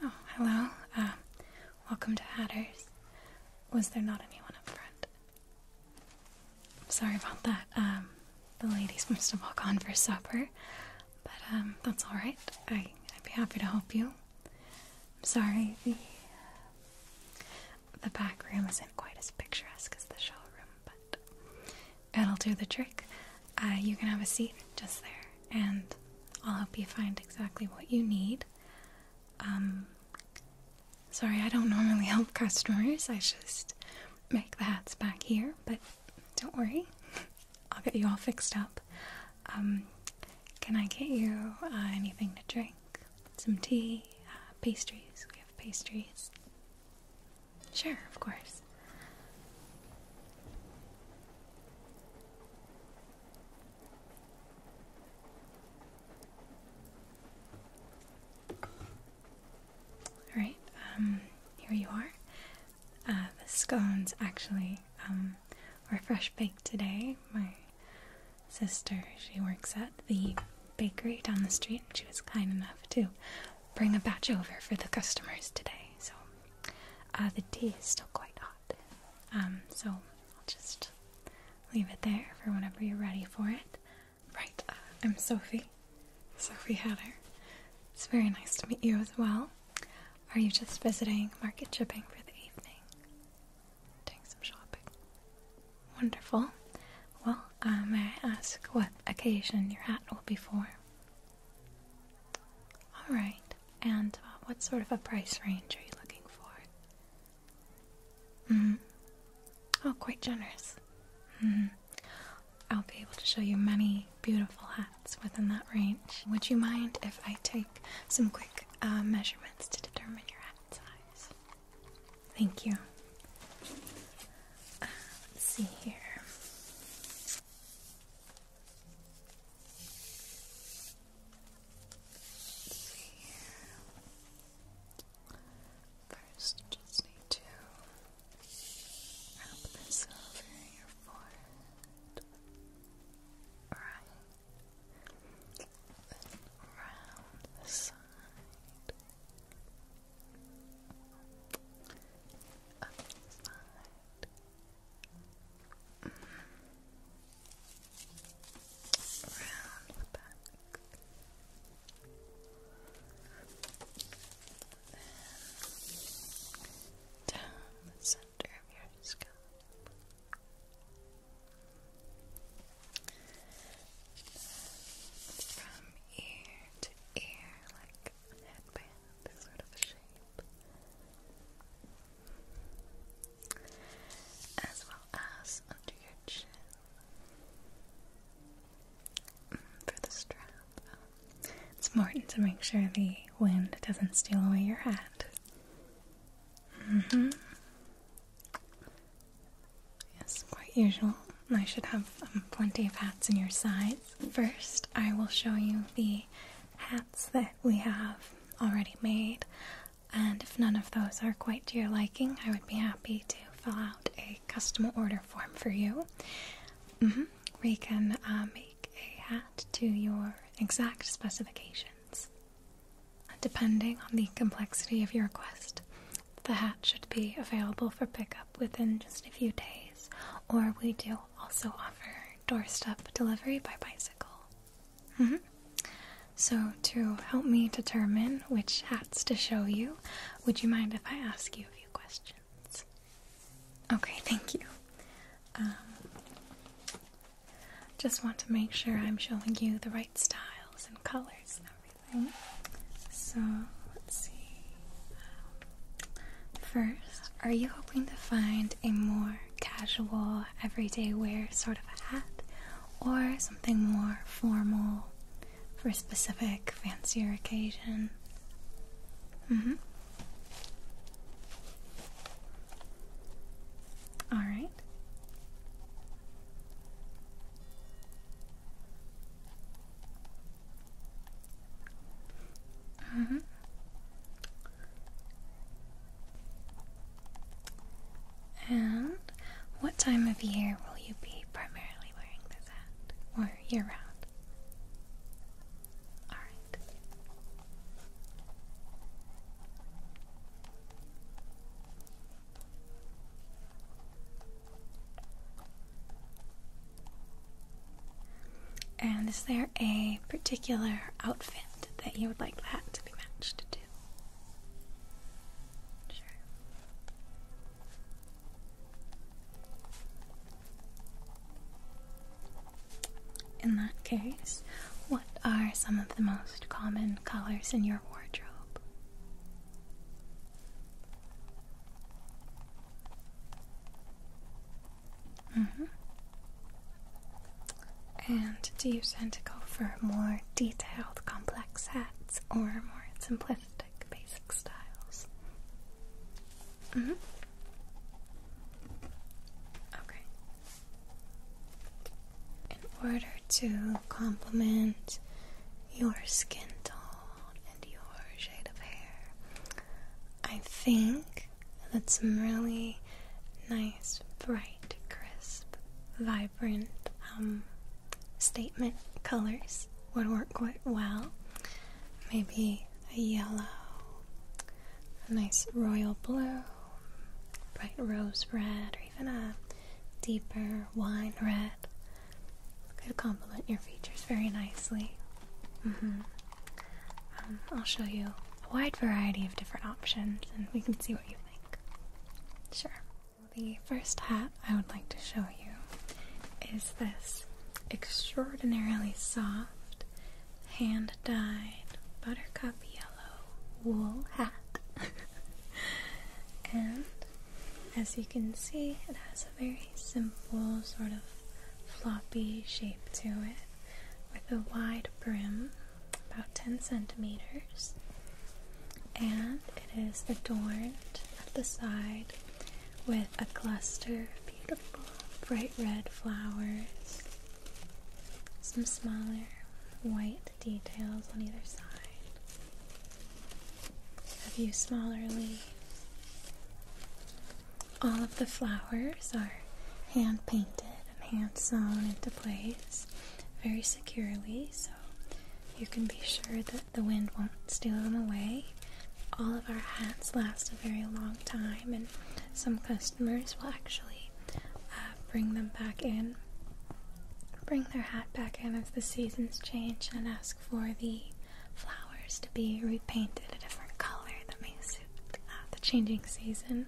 Oh, hello. Um, welcome to Hatters. Was there not anyone up front? sorry about that. Um, the ladies must have all gone for supper, but um, that's all right. I, would be happy to help you. I'm sorry the the back room isn't quite as picturesque as the showroom, but it'll do the trick. Uh, you can have a seat just there, and I'll help you find exactly what you need. Um, sorry, I don't normally help customers. I just make the hats back here, but don't worry, I'll get you all fixed up. Um, can I get you uh, anything to drink? Some tea, uh, pastries. We have pastries. Sure, of course. Alright, um, here you are. Uh, the scones actually um, were fresh baked today. My sister, she works at the bakery down the street, and she was kind enough to bring a batch over for the customers today. So uh, the tea is still quite hot. Um, so I'll just leave it there for whenever you're ready for it. Right, uh, I'm Sophie. Sophie Hatter. It's very nice to meet you as well. Are you just visiting market shipping for the evening? Doing some shopping. Wonderful. Well, uh, may I ask what occasion your hat will be for? Alright, and uh, what sort of a price range are you looking for? Mm. Oh, quite generous. Mm-hmm. I'll be able to show you many beautiful hats within that range. Would you mind if I take some quick uh, measurements to determine your hat size? Thank you. Uh, see here. First, just need to wrap this over your forehead. Right. Then around the side. Up the side. Around the back down the center of your scalp. From ear to ear, like a headband, sort of a shape. As well as under your chin for the strap. It's important to make sure the wind doesn't steal away your hat. Mm hmm. Yes, quite usual. I should have um, plenty of hats in your size. First, I will show you the hats that we have already made, and if none of those are quite to your liking, I would be happy to fill out a custom order form for you. Mm -hmm. We can uh, make a hat to your exact specifications. Depending on the complexity of your request, the hat should be available for pickup within just a few days, or we do also offer doorstep delivery by bicycle. Mm-hmm. So, to help me determine which hats to show you, would you mind if I ask you a few questions? Okay, thank you. Um, just want to make sure I'm showing you the right styles and colors and everything. So, let's see. First, are you hoping to find a more casual, everyday wear sort of hat or something more formal? for a specific fancier occasion. Mm-hmm. All mm-hmm. And what time of year will you be primarily wearing this at? Or year round? Alright. And is there a particular outfit that you would like that to be matched to? Sure. In that case, what are some of the most common colors in your wardrobe? Mm-hmm. And do you tend to go for more detailed, complex hats or more simplistic? basic, styles. Mm-hmm. Okay. In order to complement your skin tone and your shade of hair, I think that some really nice, bright, crisp, vibrant um, statement colors would work quite well. Maybe a yellow, a nice royal blue, bright rose red, or even a deeper wine red. Could complement your features very nicely. Mm-hmm. Um, I'll show you a wide variety of different options and we can see what you think. Sure. The first hat I would like to show you is this extraordinarily soft, hand dyed buttercup yellow wool hat. and as you can see, it has a very simple, sort of floppy shape to it with a wide brim, about 10 centimeters. And it is adorned at the side with a cluster of beautiful bright red flowers, some smaller white details on either side, a few smaller leaves. All of the flowers are hand painted and hand sewn into place very securely so you can be sure that the wind won't steal them away all of our hats last a very long time, and some customers will actually uh, bring them back in, bring their hat back in as the seasons change, and ask for the flowers to be repainted a different color that may suit uh, the changing season,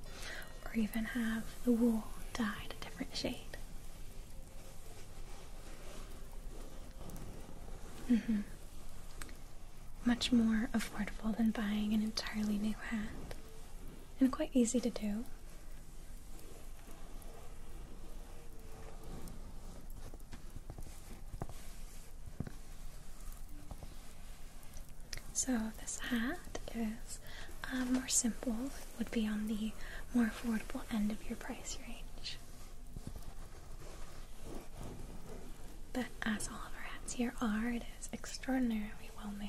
or even have the wool dyed a different shade. Mm-hmm. Much more affordable than buying an entirely new hat, and quite easy to do. So, this hat is uh, more simple, would be on the more affordable end of your price range. But as all of our hats here are, it is extraordinarily well made.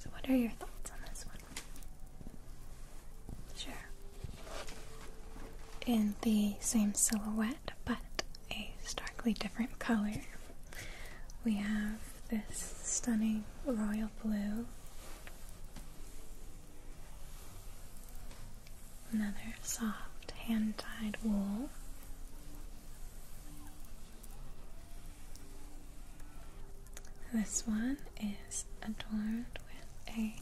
So, what are your thoughts on this one? Sure. In the same silhouette, but a starkly different color we have this stunning royal blue, another soft hand tied wool. This one is adorned with a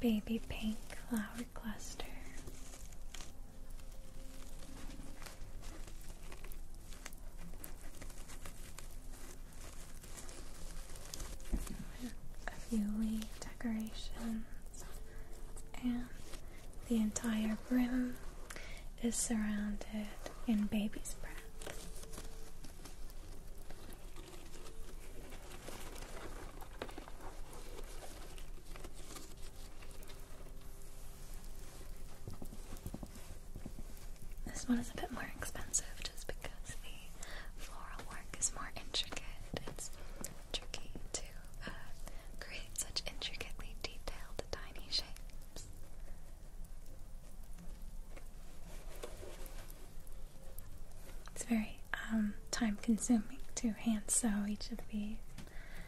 baby pink flower cluster a few leaf decorations and the entire room is surrounded in baby's breath. This one is a bit more expensive just because the floral work is more intricate. It's tricky to uh, create such intricately detailed tiny shapes. It's very um, time consuming to hand sew each of these.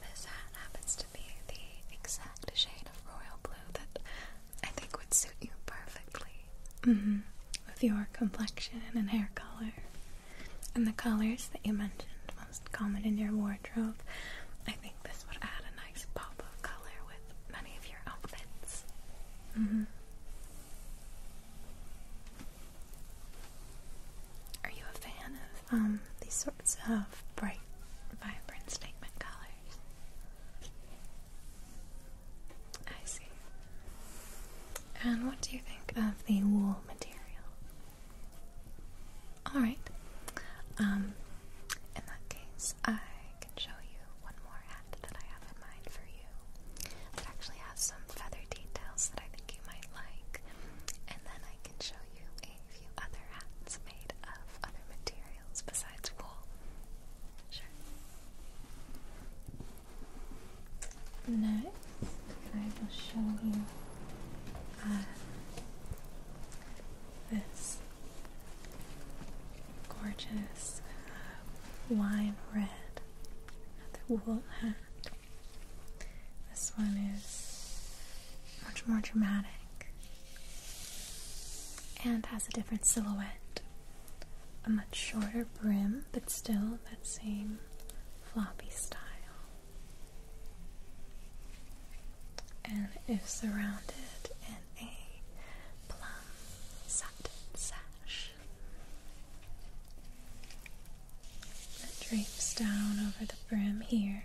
This hat happens to be the exact shade of royal blue that I think would suit you perfectly. Mm-hmm. With your complexion and hair color. And the colors that you mentioned most common in your wardrobe, I think this would add a nice nice pop of color with many of your outfits. Mm-hmm. Are you a fan of um, these sorts of bright, vibrant statement colors? I see. And what do you think of the wool material? Alright. Um, in that case, I I can show you one more hat that I have in mind for you. It actually has some feather details that I think you might like. And then I can show you a few other hats made of other materials besides wool. Next, I will show you uh, this gorgeous uh, wine red. Another wool hat. This one is much more dramatic and has a different silhouette. A much shorter brim, but still that same floppy style. And is surrounded in a plum satin sash that drapes down over the brim here.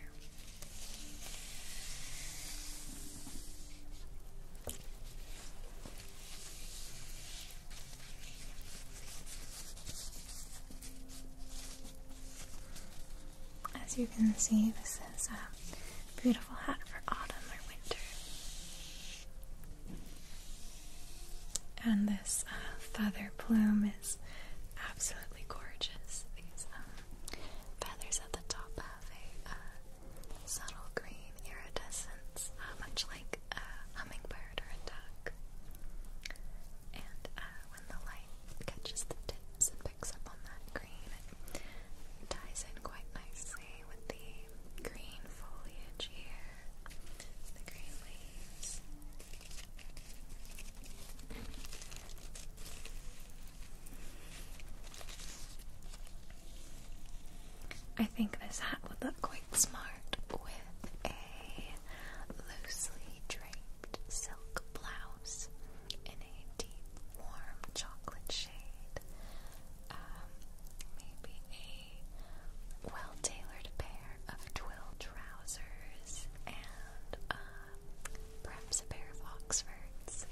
As you can see, this is a beautiful hat for autumn or winter. And this uh, feather plume is absolutely gorgeous. These um, feathers at the top have a uh, subtle green iridescence, uh, much like a hummingbird or a duck. And when the light catches the tips and picks up on that ties in quite nicely with the green foliage here, the green leaves. I think this hat would look quite smart with a loosely draped silk blouse in a deep warm chocolate shade. Um, maybe a well tailored pair of twill trousers and um, perhaps a pair of Oxfords.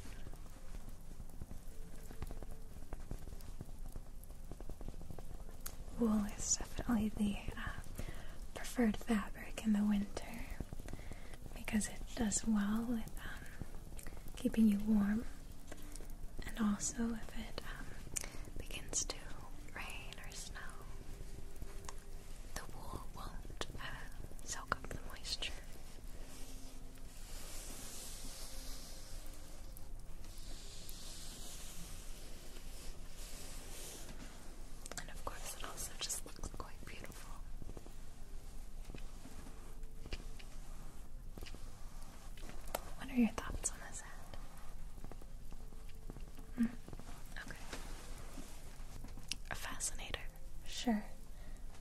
Wool is definitely the uh, preferred fabric in the winter because it does well with um, keeping you warm. And also, if it um, begins to rain or snow, the wool won't uh, soak up the moisture. And of course, it also just looks quite beautiful. What are your thoughts on this ad? Hmm. okay. A fascinator. Sure.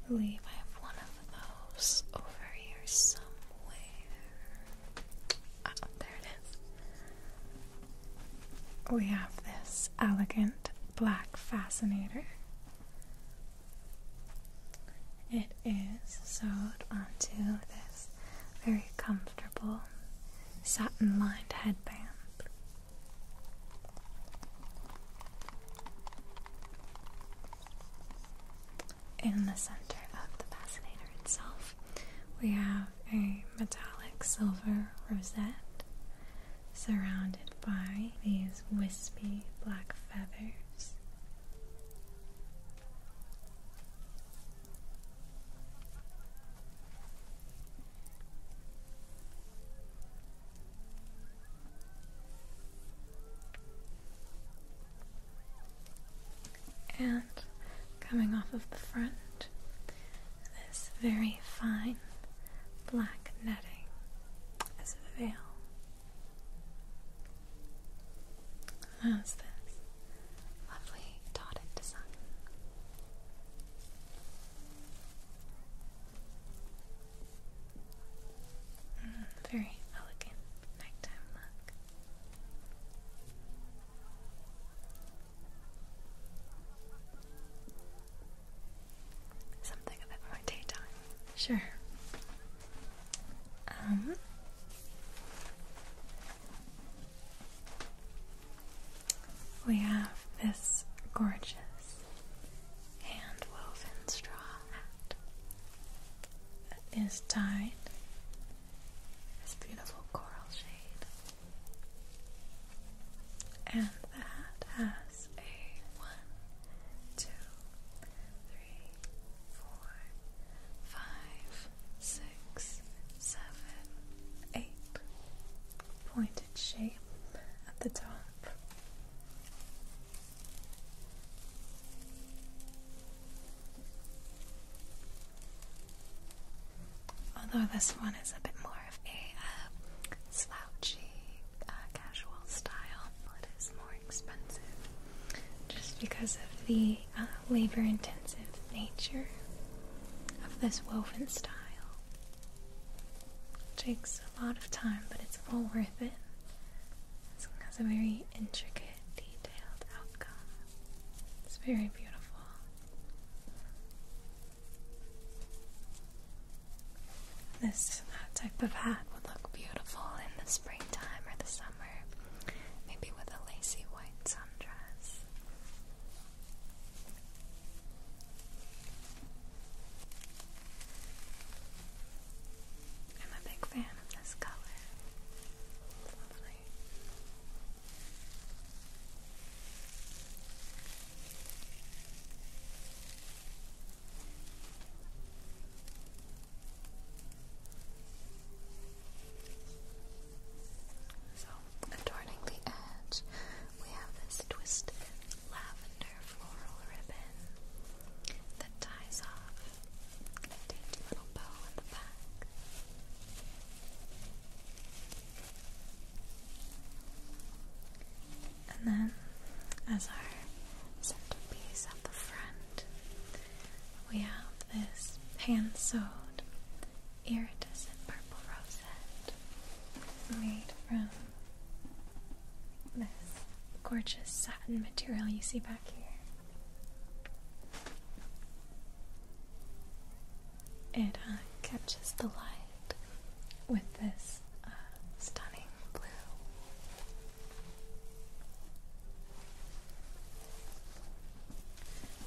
I believe I have one of those over here somewhere. there it is. We have this elegant black fascinator. It is sewed onto this very comfortable satin lined headband. In the center of the fascinator itself, we have a metallic silver rosette surrounded by these wispy black feathers and coming off of the front, this very fine black netting as a veil. How's this? Lovely dotted design. Mm, very elegant nighttime look. Something a bit Sure. Um, we have this gorgeous hand woven straw hat that is dyed this beautiful coral shade. And that has a one, three, four, five, six, seven, eight. Pointed shape at the top. Although this one is a bit more of a uh, slouchy, uh, casual style, it is more expensive just because of the uh, labor intensive nature of this woven style. takes a lot of time, but it's all worth it. It has a very intricate, detailed outcome. It's very beautiful. This uh, type of hat would look beautiful in this springtime or the summer, maybe with a lacy white sundress. I'm a big fan of this color. lovely. So, adorning the edge, we have this twisted lavender floral ribbon that ties off a dainty little bow at the back. And then, as our centerpiece at the front, we have this hand-sewed iridescent purple rosette made from this gorgeous satin material you see back here. It uh, catches the light with this uh, stunning blue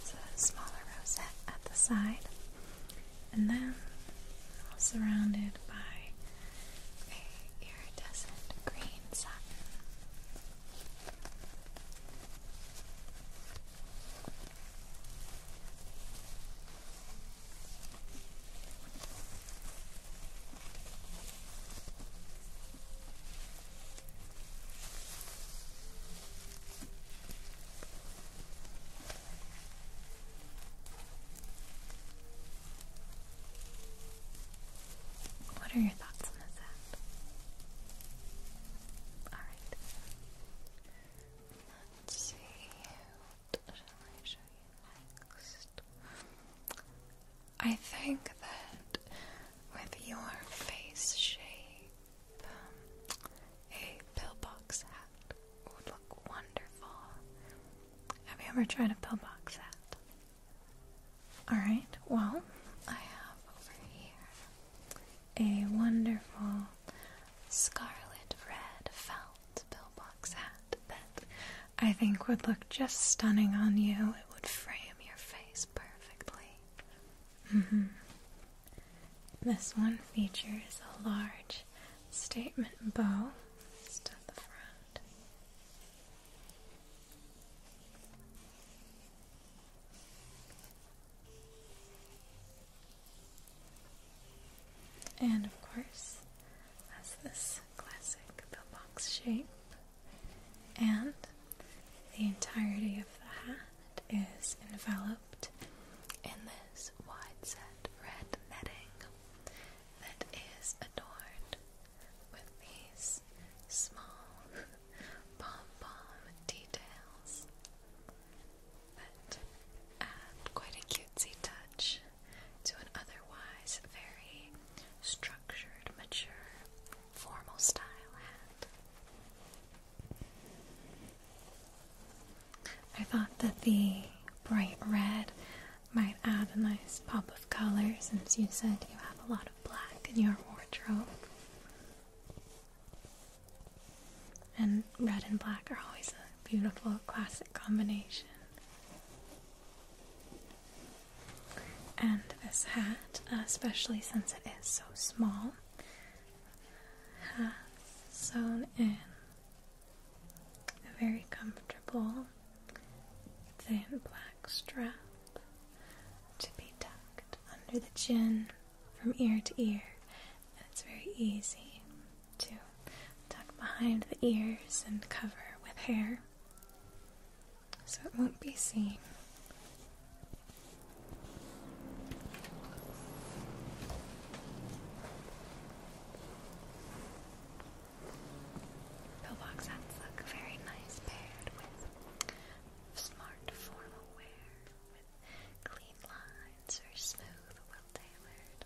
so a smaller rosette at the side, and then surrounded by a iridescent green satin. What are your thoughts on this app? Alright. Let's see, what I show you next? I think that with your face shape, um, a pillbox hat would look wonderful. Have you ever tried a pillbox hat? Alright, well, I have over here a wonderful scarlet red felt pillbox hat that I think would look just stunning on you. It would frame your face perfectly. Mm-hmm. This one features a large statement bow just the front. And of course, has this classic bell box shape and the entirety of the hat is enveloped in this wide set red netting that is adorned with these small pom pom details that add quite a cutesy touch to an otherwise very structured, mature, formal style I thought that the bright red might add a nice pop of color since you said you have a lot of black in your wardrobe. And red and black are always a beautiful classic combination. And this hat, especially since it is so small, sewn in a very comfortable thin black strap to be tucked under the chin from ear to ear. And it's very easy to tuck behind the ears and cover with hair so it won't be seen. Pillbox hats look very nice paired with smart formal wear with clean lines or smooth, well tailored.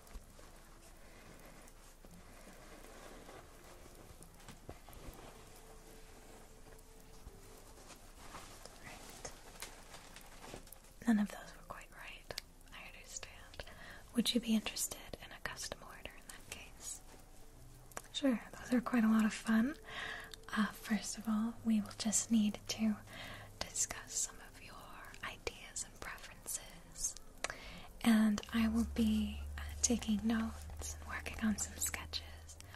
None of those were quite right. I understand. Would you be interested in a custom order in that case? Sure, those are quite a lot of fun. Uh, first of all, we will just need to discuss some of your ideas and preferences and I will be uh, taking notes and working on some sketches.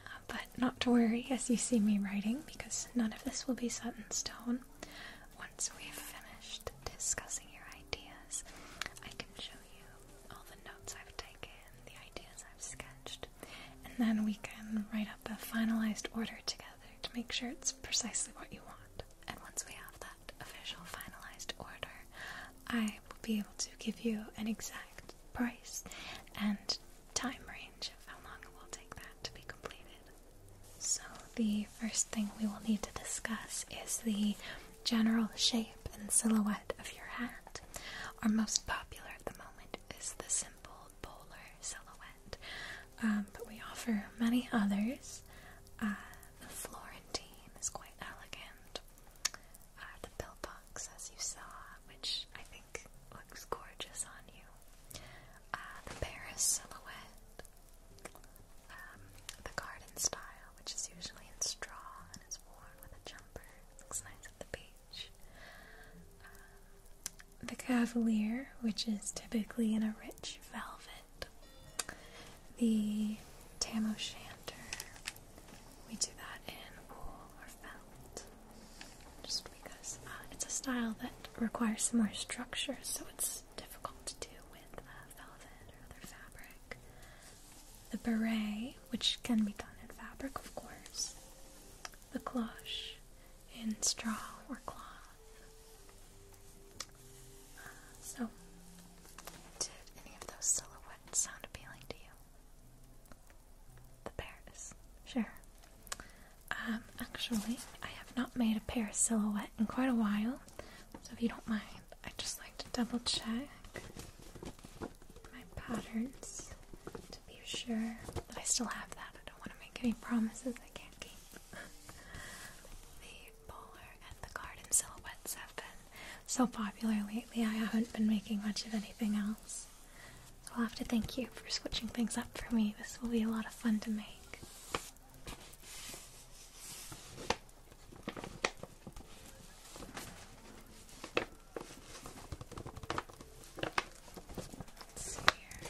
Uh, but not to worry as you see me writing, because none of this will be set in stone. Once we have finished discussing your ideas, I can show you all the notes I've taken, the ideas I've sketched, and then we can write up a finalized order together to make sure it's precisely what you want. And once we have that official finalized order, I will be able to give you an exact price and time range of how long it will take that to be completed. So, the first thing we will need to discuss is the general shape and silhouette of your hat. Our most popular at the moment is the simple bowler silhouette. Um, but we offer many others. Uh, the Florentine is quite elegant. Uh, the pillbox, as you saw, which I think looks gorgeous on you. Uh, the Paris silhouette. Um, the garden style, which is usually in straw and is worn with a jumper. Looks nice at the beach. Um, the cavalier, which is typically in a rich velvet the tam o' shanter, we do that in wool or felt, just because uh, it's a style that requires some more structure, so it's difficult to do with uh, velvet or other fabric. The beret, which can be done in fabric, of course. The cloche in straw or cloth so, did any of those silhouettes sound appealing to you? The pears, sure. Um, actually, I have not made a pear silhouette in quite a while, so if you don't mind, I'd just like to double check my patterns to be sure that I still have that. I don't want to make any promises I can't keep. bowler and the garden silhouettes have been so popular lately, I haven't been making much of anything else. I'll have to thank you for switching things up for me. This will be a lot of fun to make. here.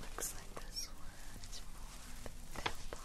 Looks like this one is more box.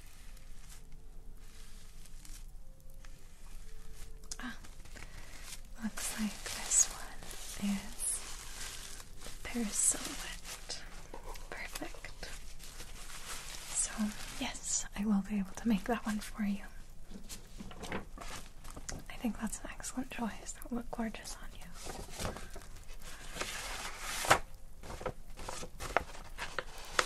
Ah, looks like this one is the Parasolette. Perfect. So, yes, I will be able to make that one for you. I think that's an excellent choice. That will look gorgeous on you.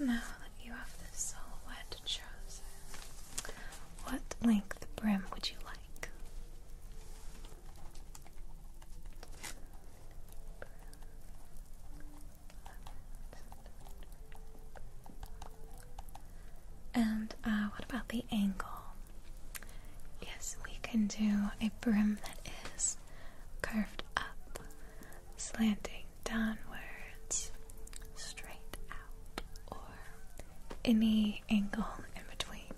Now that you have the silhouette chosen, what length brim would you like? And uh, what about the angle? Yes, we can do a brim that is curved up, slanting downwards, straight out, or any angle in between.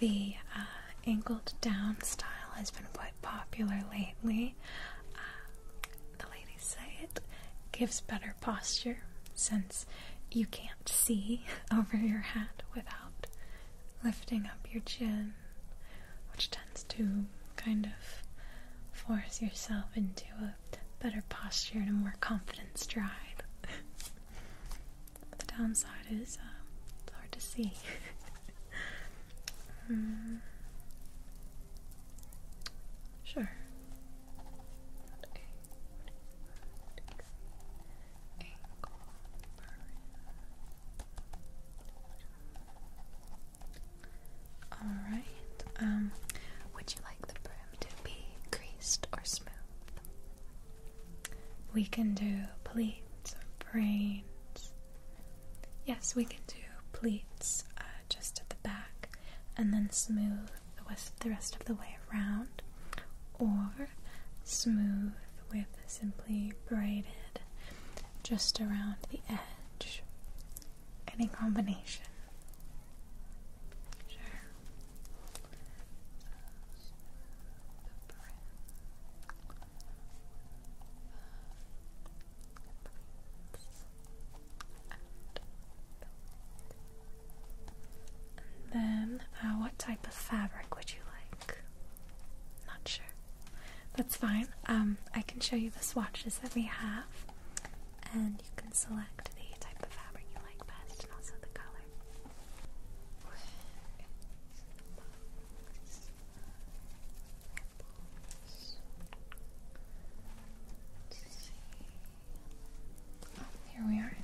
The uh, angled down style has been quite popular lately. Uh, the ladies say it gives better posture since you can't see over your hat without lifting up your chin, which tends to kind of force yourself into a better posture and a more confidence stride. the downside is uh, it's hard to see. Hmm. Sure. Alright, um, would you like the brim to be creased or smooth? We can do pleats or braids. Yes, we can do pleats uh, just at the back and then smooth the, the rest of the way around, or smooth with simply braided just around the edge. Any combination. Sure then, um, uh, what type of fabric would you like? Not sure. That's fine. Um, I can show you the swatches that we have, and you can select the type of fabric you like best, and also the color here we are.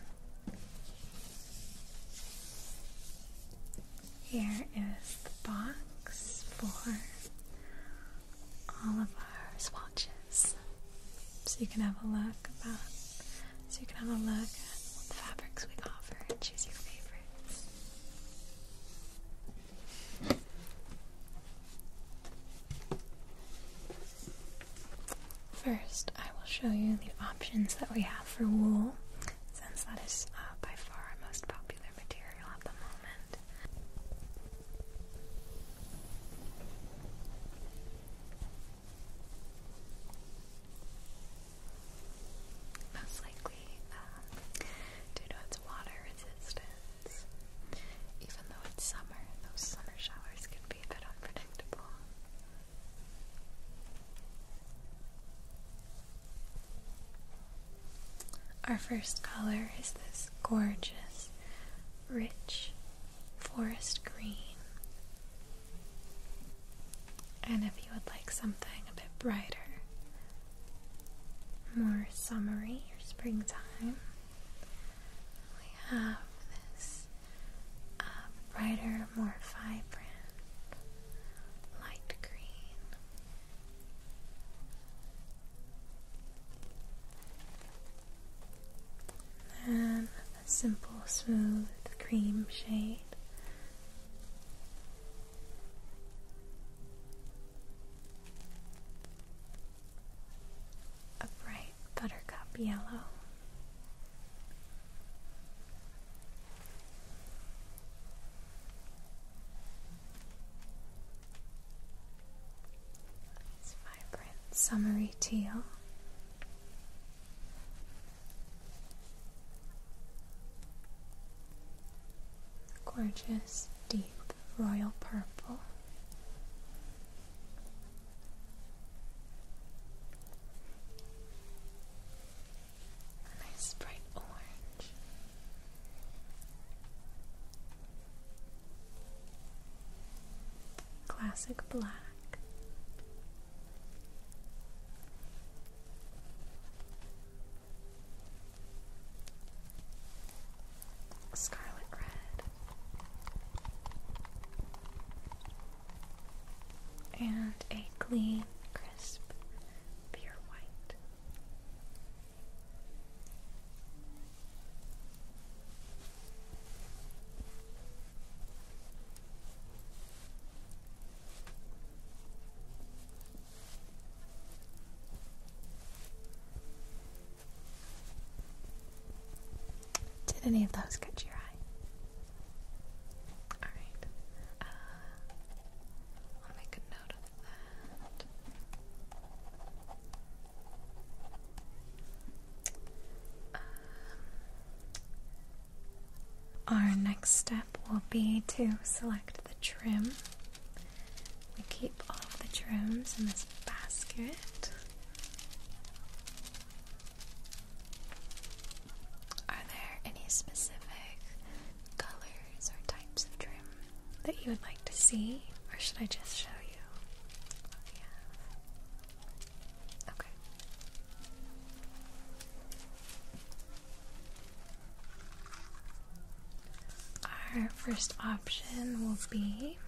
Here is the box for all of our swatches. So you can have a look so you can have a look at what the fabrics we offer and choose your favorites. First, I will show you the options that we have for wool, since that is uh, by far our most popular material at the moment. Most likely, we um, due water resistance. Even though it's summer, those summer showers can be a bit unpredictable. Our first color is this gorgeous, rich forest green. And if you would like something a bit brighter, more summery or springtime. We have this uh, brighter, more vibrant light green. And a simple, smooth cream shade a bright buttercup yellow. It's vibrant summery teal. Gorgeous deep royal purple. nice bright orange. Classic black. Scarlet Red. And a gleam, crisp, pure white. Did any of those catch your eye? Alright. Uh, I'll make a note of that. Um, our next step will be to select the trim we keep all of the drums in this basket. Are there any specific colors or types of trim that you would like to see, or should I just show you what we have? Okay. Our first option will be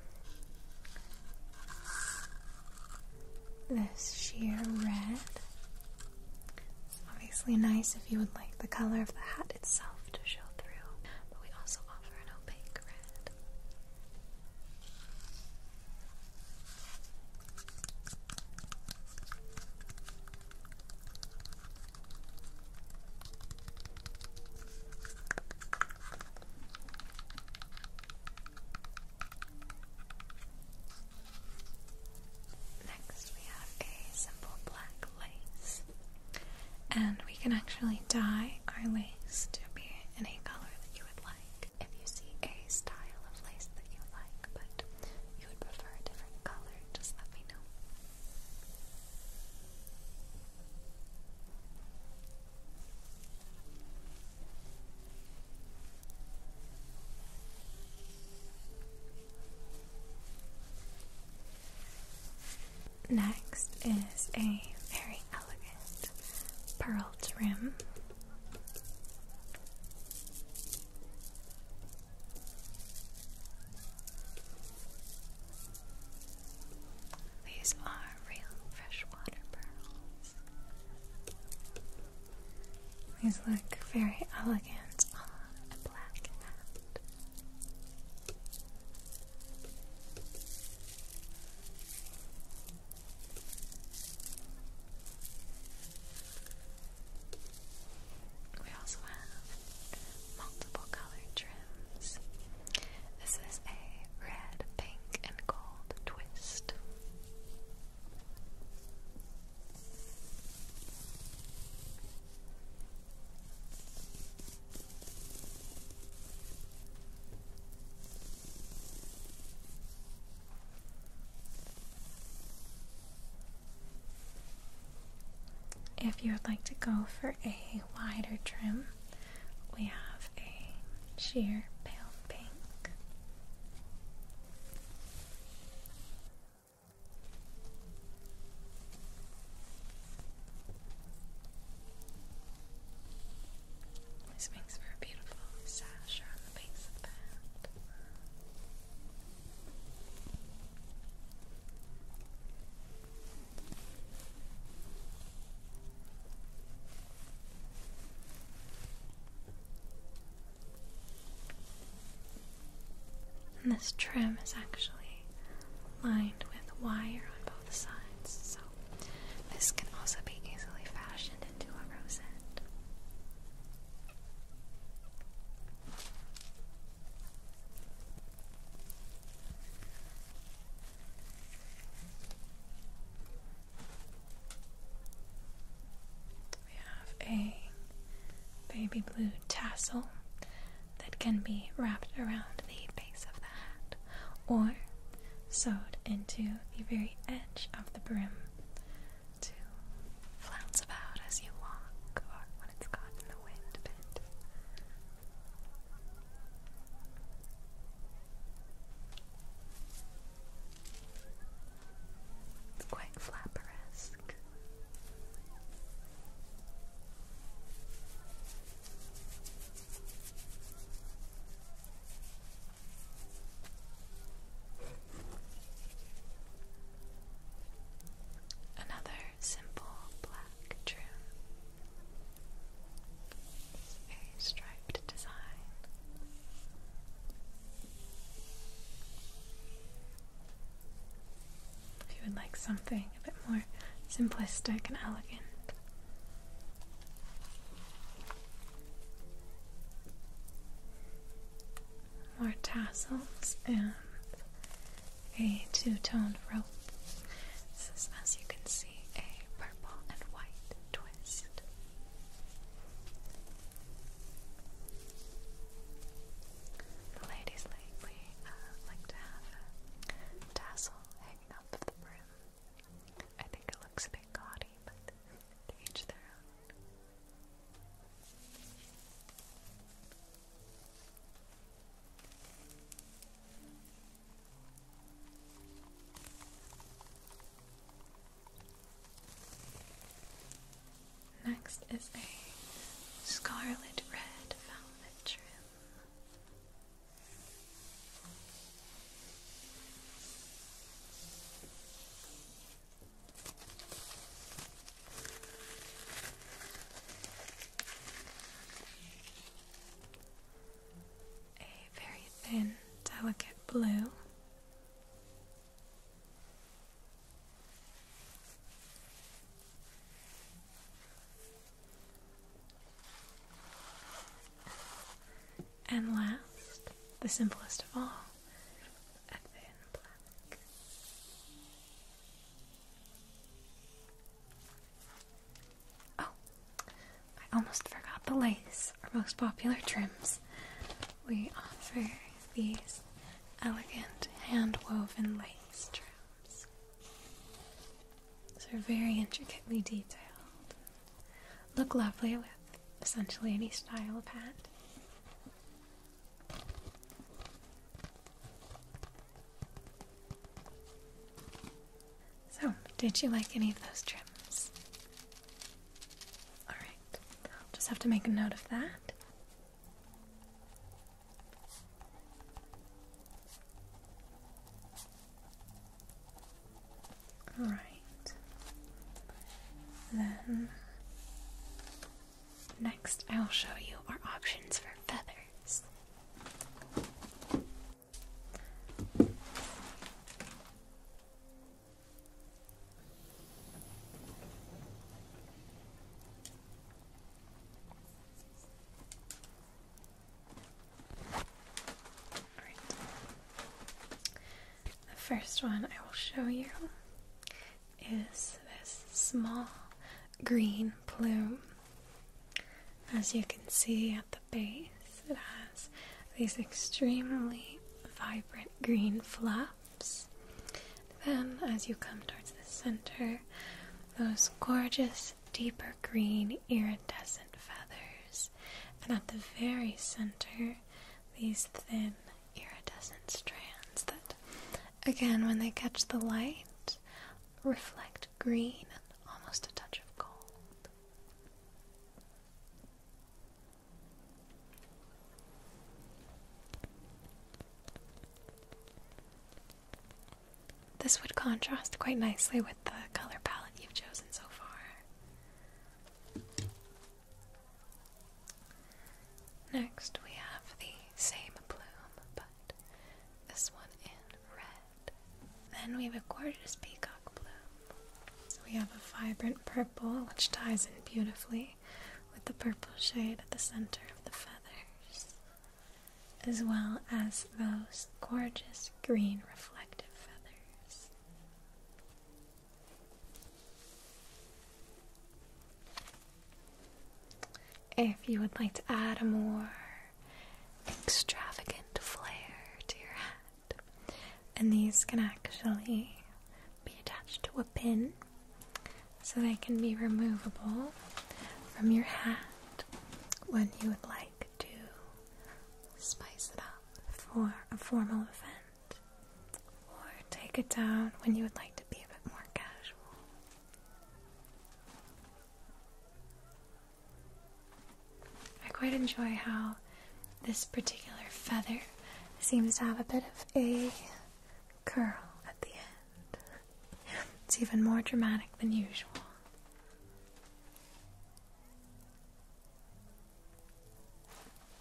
this sheer red. obviously nice if you would like the color of the hat itself to show through, but we also offer an opaque red. Next, we have a simple black lace, and we can actually dye our lace to be any color that you would like. If you see a style of lace that you like, but you would prefer a different color, just let me know. Next is a very elegant pearl trim. These are real freshwater pearls. These look very elegant on a black hat. We also have multiple color trims. This is a red, pink, and gold twist. If you would like to go for a wider trim, we have a sheer pale pink. This makes for a beautiful sash around the base of the hat. And this trim is actually lined with wire on both sides, so this can also be easily fashioned into a rosette. We have a baby blue tassel that can be wrapped around the base of the hat or sewed into the very edge of the brim to flounce about as you walk, when it's gotten the wind It's quite flapperesque. Another simple black trim a striped design. If you would like something a bit more simplistic and elegant. More tassels and a two-tone rope. This is, as you can see, a purple and white twist. The ladies uh, like to have a tassel hanging off the brim. I think it looks a bit gaudy, but to each their own. Next is a scarlet red velvet trim a very thin, delicate blue. And last, the simplest of all, a thin black. Oh, I almost forgot the lace, our most popular trims. We offer these elegant hand woven lace trims. So they're very intricately detailed. Look lovely with essentially any style of hat. So, did you like any of those trims? Alright, I'll just have to make a note of that. Alright, then next I will show you our options for feathers. The first one I will show you is this small green plume as you can see at the base, it has these extremely vibrant green flaps. Then, as you come towards the center, those gorgeous, deeper green iridescent feathers, and at the very center, these thin iridescent strands that, again, when they catch the light, reflect green almost a touch of gold. This would contrast quite nicely with the color palette you've chosen so far. Next, we have the same bloom, but this one in red. Then we have a gorgeous peacock blue. we have a vibrant purple, which ties in beautifully with the purple shade at the center of the feathers, as well as those gorgeous green reflective feathers. If you would like to add a more extravagant flair to your hat. And these can actually be attached to a pin so they can be removable from your hat when you would like to spice it up for a formal event or take it down when you would like to be a bit more casual. I quite enjoy how this particular feather seems to have a bit of a curl at the end. It's even more dramatic than usual.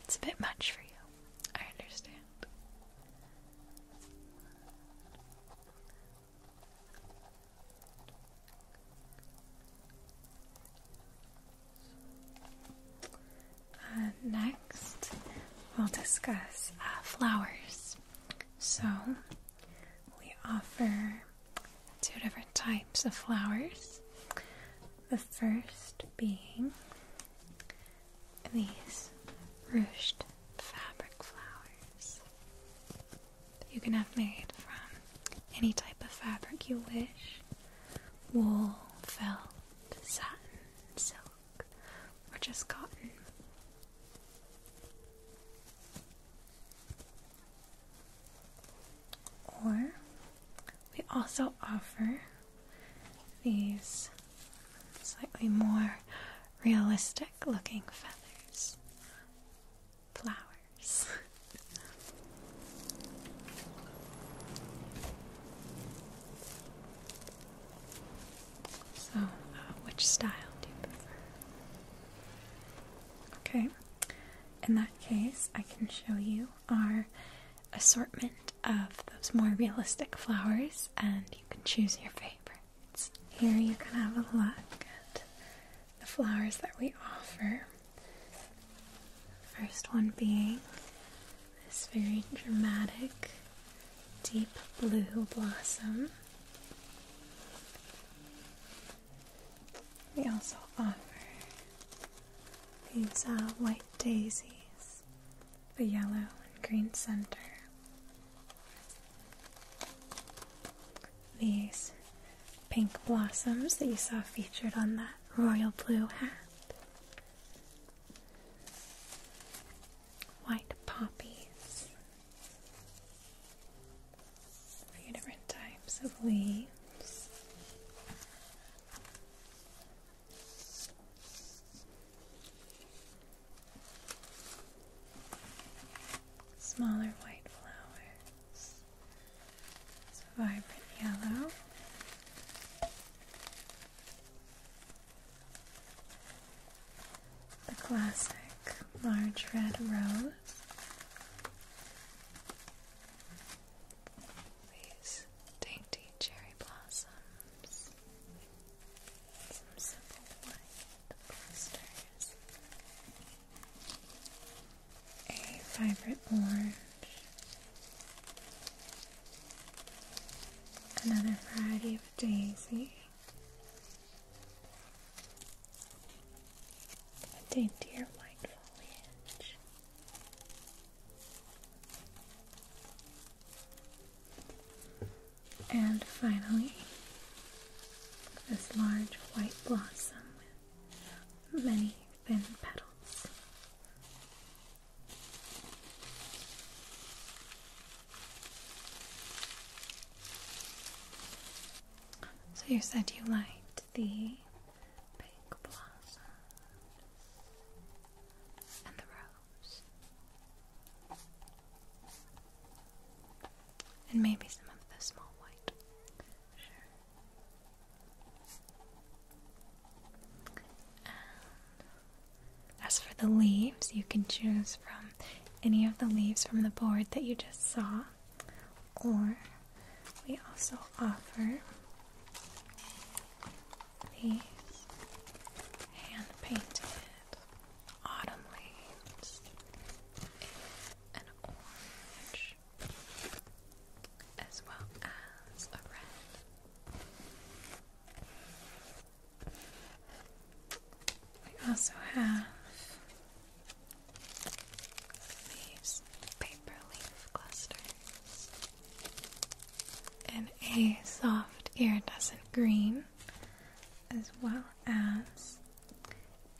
It's a bit much for you. I understand next, we'll discuss uh, flowers. So, we offer two different types of flowers. The first being these ruched fabric flowers you can have made from any type of fabric you wish wool, felt, satin, silk, or just cotton. Or we also offer these slightly more realistic looking feathers flowers. so, uh, which style do you prefer? Okay, in that case, I can show you our assortment of those more realistic flowers, and you can choose your favorites. Here, you can have a look at the flowers that we offer. First one being this very dramatic deep blue blossom. We also offer these uh, white daisies, the yellow and green center these pink blossoms that you saw featured on that royal blue hat. White poppies. A different types of leaves. Smaller white flowers. It's vibrant yellow. The classic large red rose. These dainty cherry blossoms. Some simple white blisters a vibrant orange, another variety of daisy, a daintier white foliage. And finally, this large white blossom many thin petals. So you said you liked the pink blossom and the rose, and maybe some of the small white as for the leaves, you can choose from any of the leaves from the board that you just saw, or we also offer these hand painted autumn leaves in an orange as well as a red. We also have these paper leaf clusters in a soft iridescent green, as well as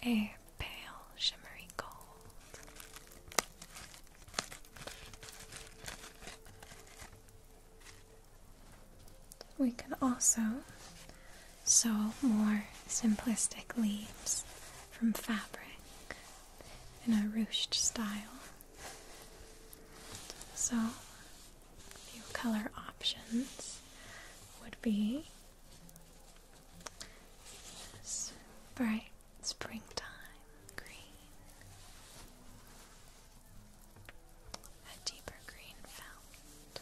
a pale, shimmery gold. We can also sew more simplistic leaves from fabric in a ruched style. So, a few color options would be bright springtime green, a deeper green felt,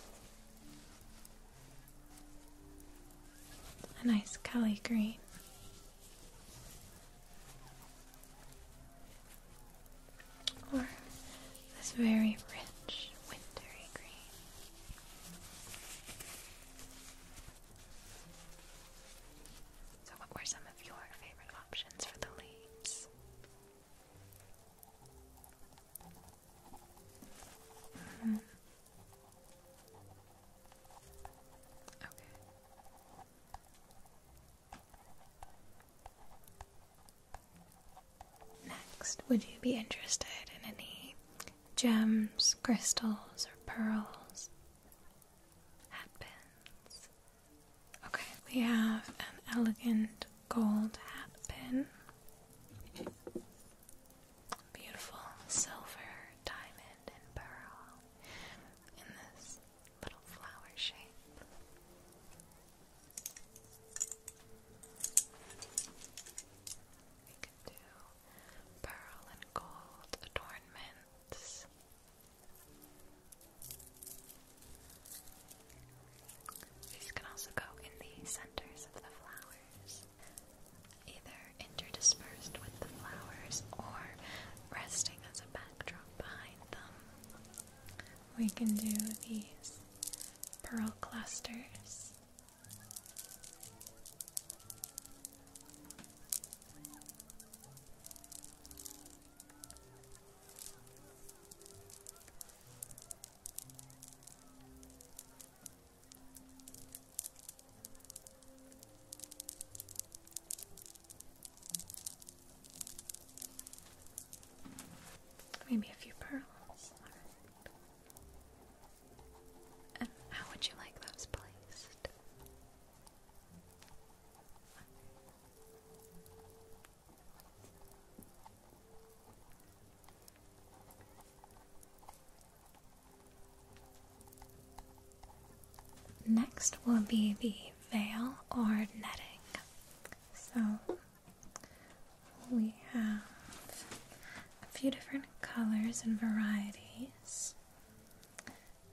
a nice Kelly green. Or this very rich, wintry green. So, what were some of your favorite options for the leaves? Hmm. Okay. Next, would you be interested in any gems, crystals, or pearls, hatpins. Okay, we have an elegant gold hatpin, beautiful silver, diamond, and pearl in this little flower shape can pearl and gold adornments. These can also go in the centers of the flowers, either interdispersed with the flowers or resting as a backdrop behind them. We can do these pearl clusters Maybe a few pearls how would you like those placed? Next will be the veil or netting. So we have a few different colors and varieties.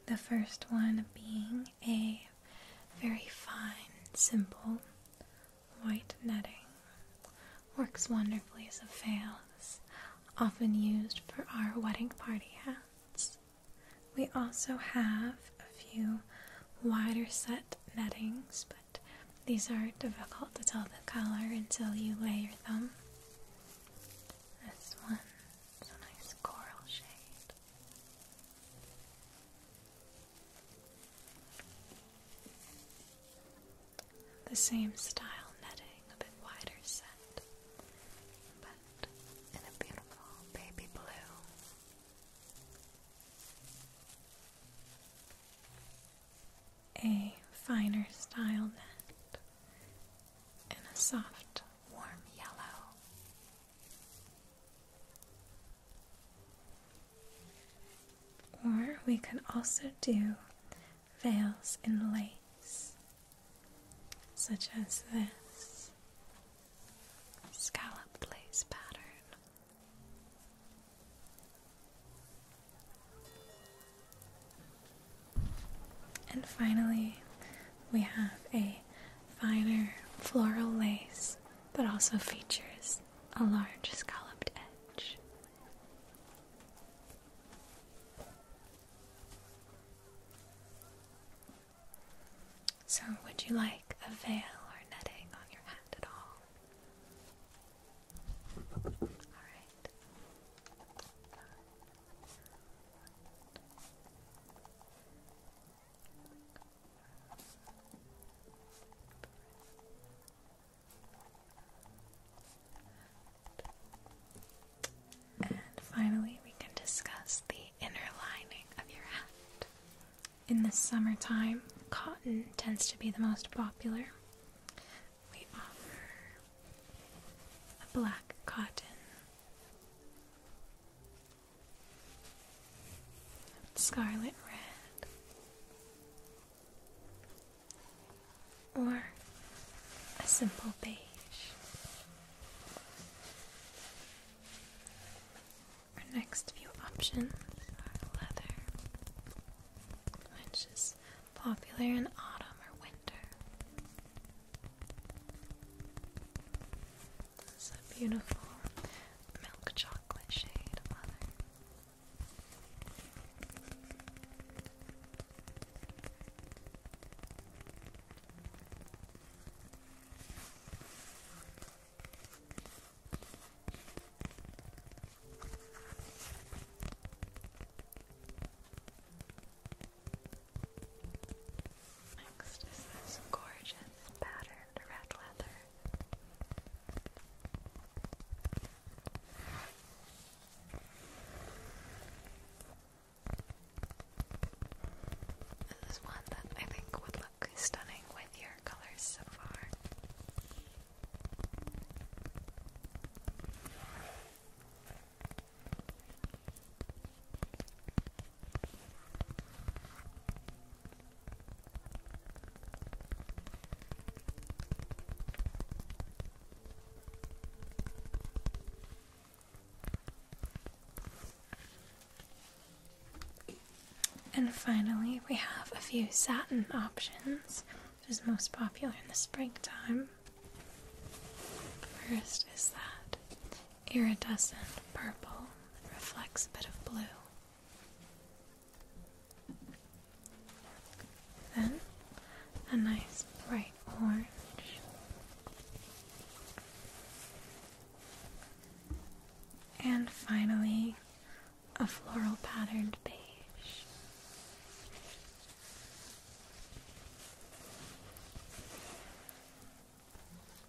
The first one being a very fine, simple white netting. Works wonderfully as a veil, it's often used for our wedding party hats. We also have a few wider set nettings, but these are difficult to tell the color until you lay your thumb. This one is a nice coral shade. The same style netting, a bit wider set, but in a beautiful baby blue a finer style net in a soft, warm yellow. Or we can also do veils in lace, such as this scallop lace pattern. And finally, we have a finer floral lace that also features a large scalloped edge. So, would you like a veil or netting on your hand at all? And finally, we can discuss the inner lining of your hat. In the summertime, cotton tends to be the most popular we offer a black cotton. Scarlet red, or a simple beige, our next few options are leather, which popular in autumn or winter. This a beautiful milk chocolate shade leather. Next is this gorgeous patterned red leather. This is one that I think would look stunning with your colors so far. And finally, we have a few satin options is most popular in the springtime. First is that iridescent purple that reflects a bit of blue. Then a nice bright orange. And finally, a floral patterned beige.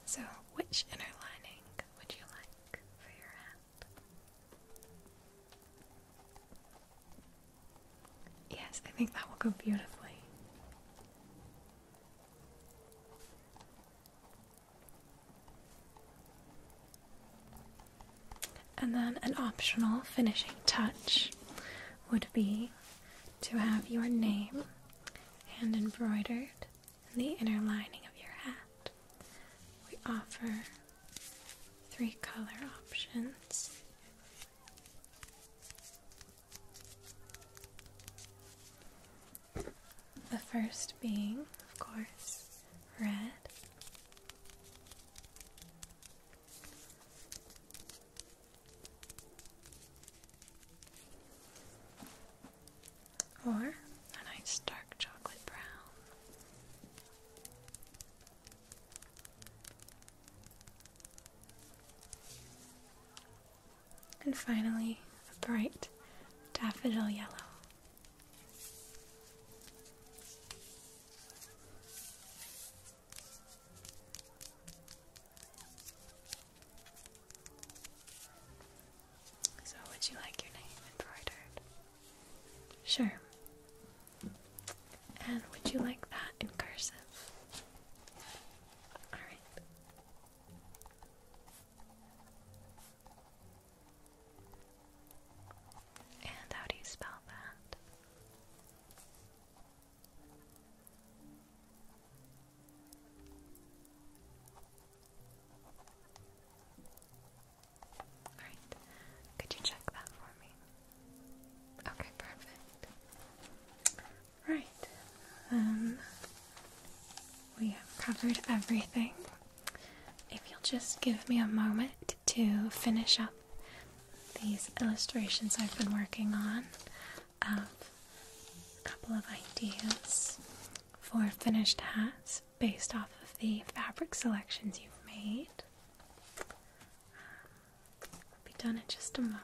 So, which inner lining would you like for your hand? Yes, I think that will go beautifully. And then an optional finishing touch would be to have your name hand embroidered in the inner lining of your hat. We offer three color options. The first being, of course, red. Or a nice dark chocolate brown. And finally, a bright daffodil yellow. So, would you like your name embroidered? Sure. And would you like that in cursive? Alright. And how do you spell that? could you check that for me? Okay, perfect. Right, then um, we have covered everything. If you'll just give me a moment to finish up these illustrations I've been working on of a couple of ideas for finished hats based off of the fabric selections you've made. will be done in just a moment.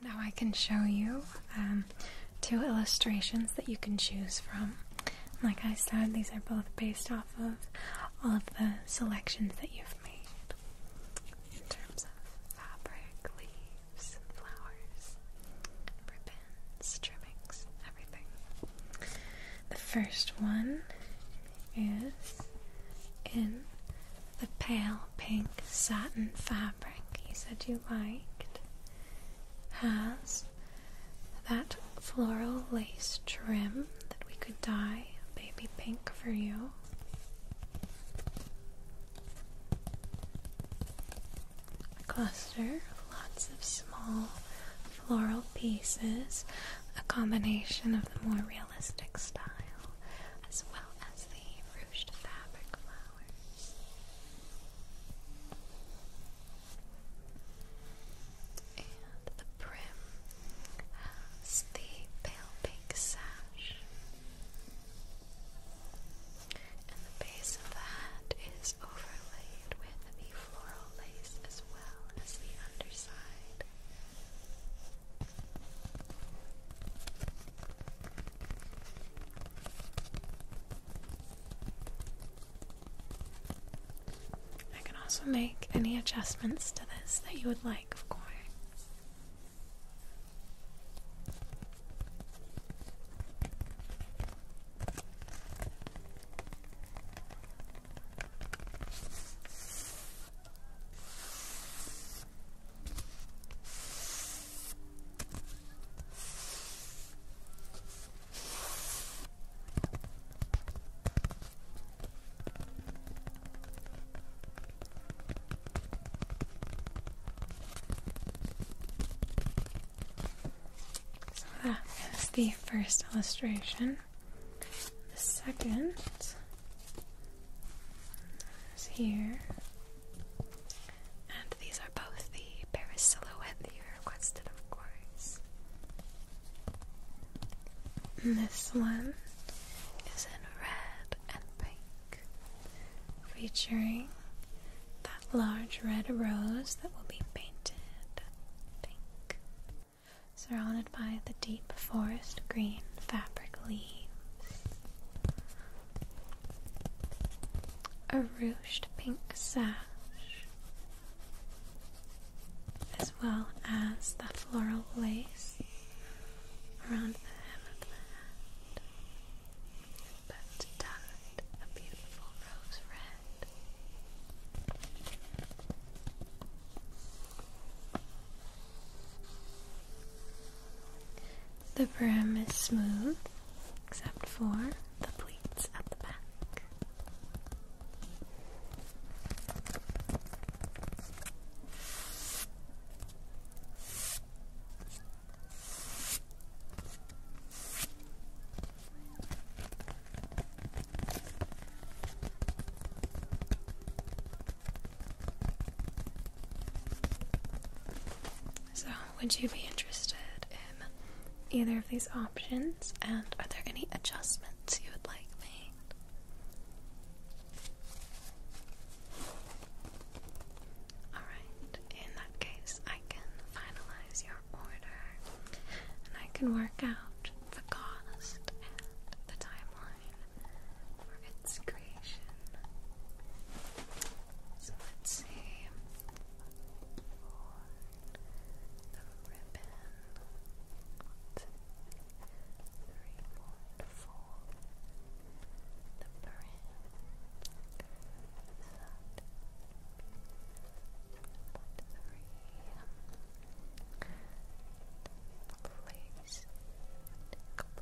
Now I can show you um, two illustrations that you can choose from. Like I said, these are both based off of all of the selections that you've made in terms of fabric, leaves, flowers, ribbons, trimmings, everything. The first one is in the pale pink satin fabric you said you liked, has that floral lace trim that we could dye baby pink for you. A cluster of lots of small floral pieces, a combination of the more realistic style as well as the ruched fabric flowers. And the brim has the pale pink sash. And the base of the hat is overlaid with the floral lace as well as the underside. I can also make any adjustments to this that you would like, of course. So that is the first illustration. The second is here. And these are both the Paris silhouette requested, of course. This one is in red and pink, featuring that large red rose that will be painted pink, surrounded by the deep forest green fabric leaves. A ruched pink sash as well as the floral lace around the hem of the hat. But dyed a beautiful rose red. The brim is smooth except for the pleats at the back. So, would you be interested in either of these options? And are there any adjustments? comments you would like made. Alright, in that case, I can finalize your order and I can work out the cost and the timeline for its creation. So let's see the ribbon. One, two, three, The brim. That. Three. Place. Take two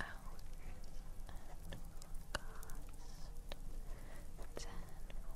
hours and cost ten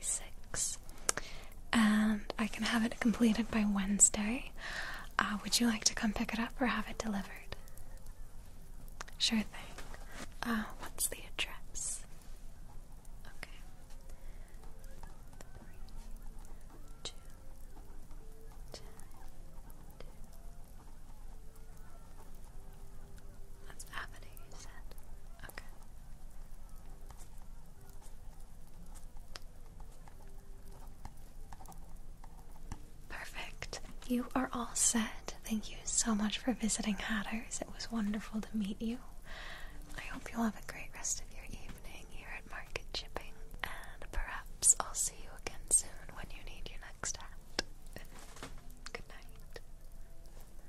1986, and I can have it completed by Wednesday. Uh, would you like to come pick it up or have it delivered? Sure thing. Uh, what's the address? Okay. Perfect. You are all set. Thank you so much for visiting Hatters. It was wonderful to meet you. I hope you'll have a great rest of your evening here at Market Shipping, and perhaps I'll see you again soon when you need your next hat. Good night.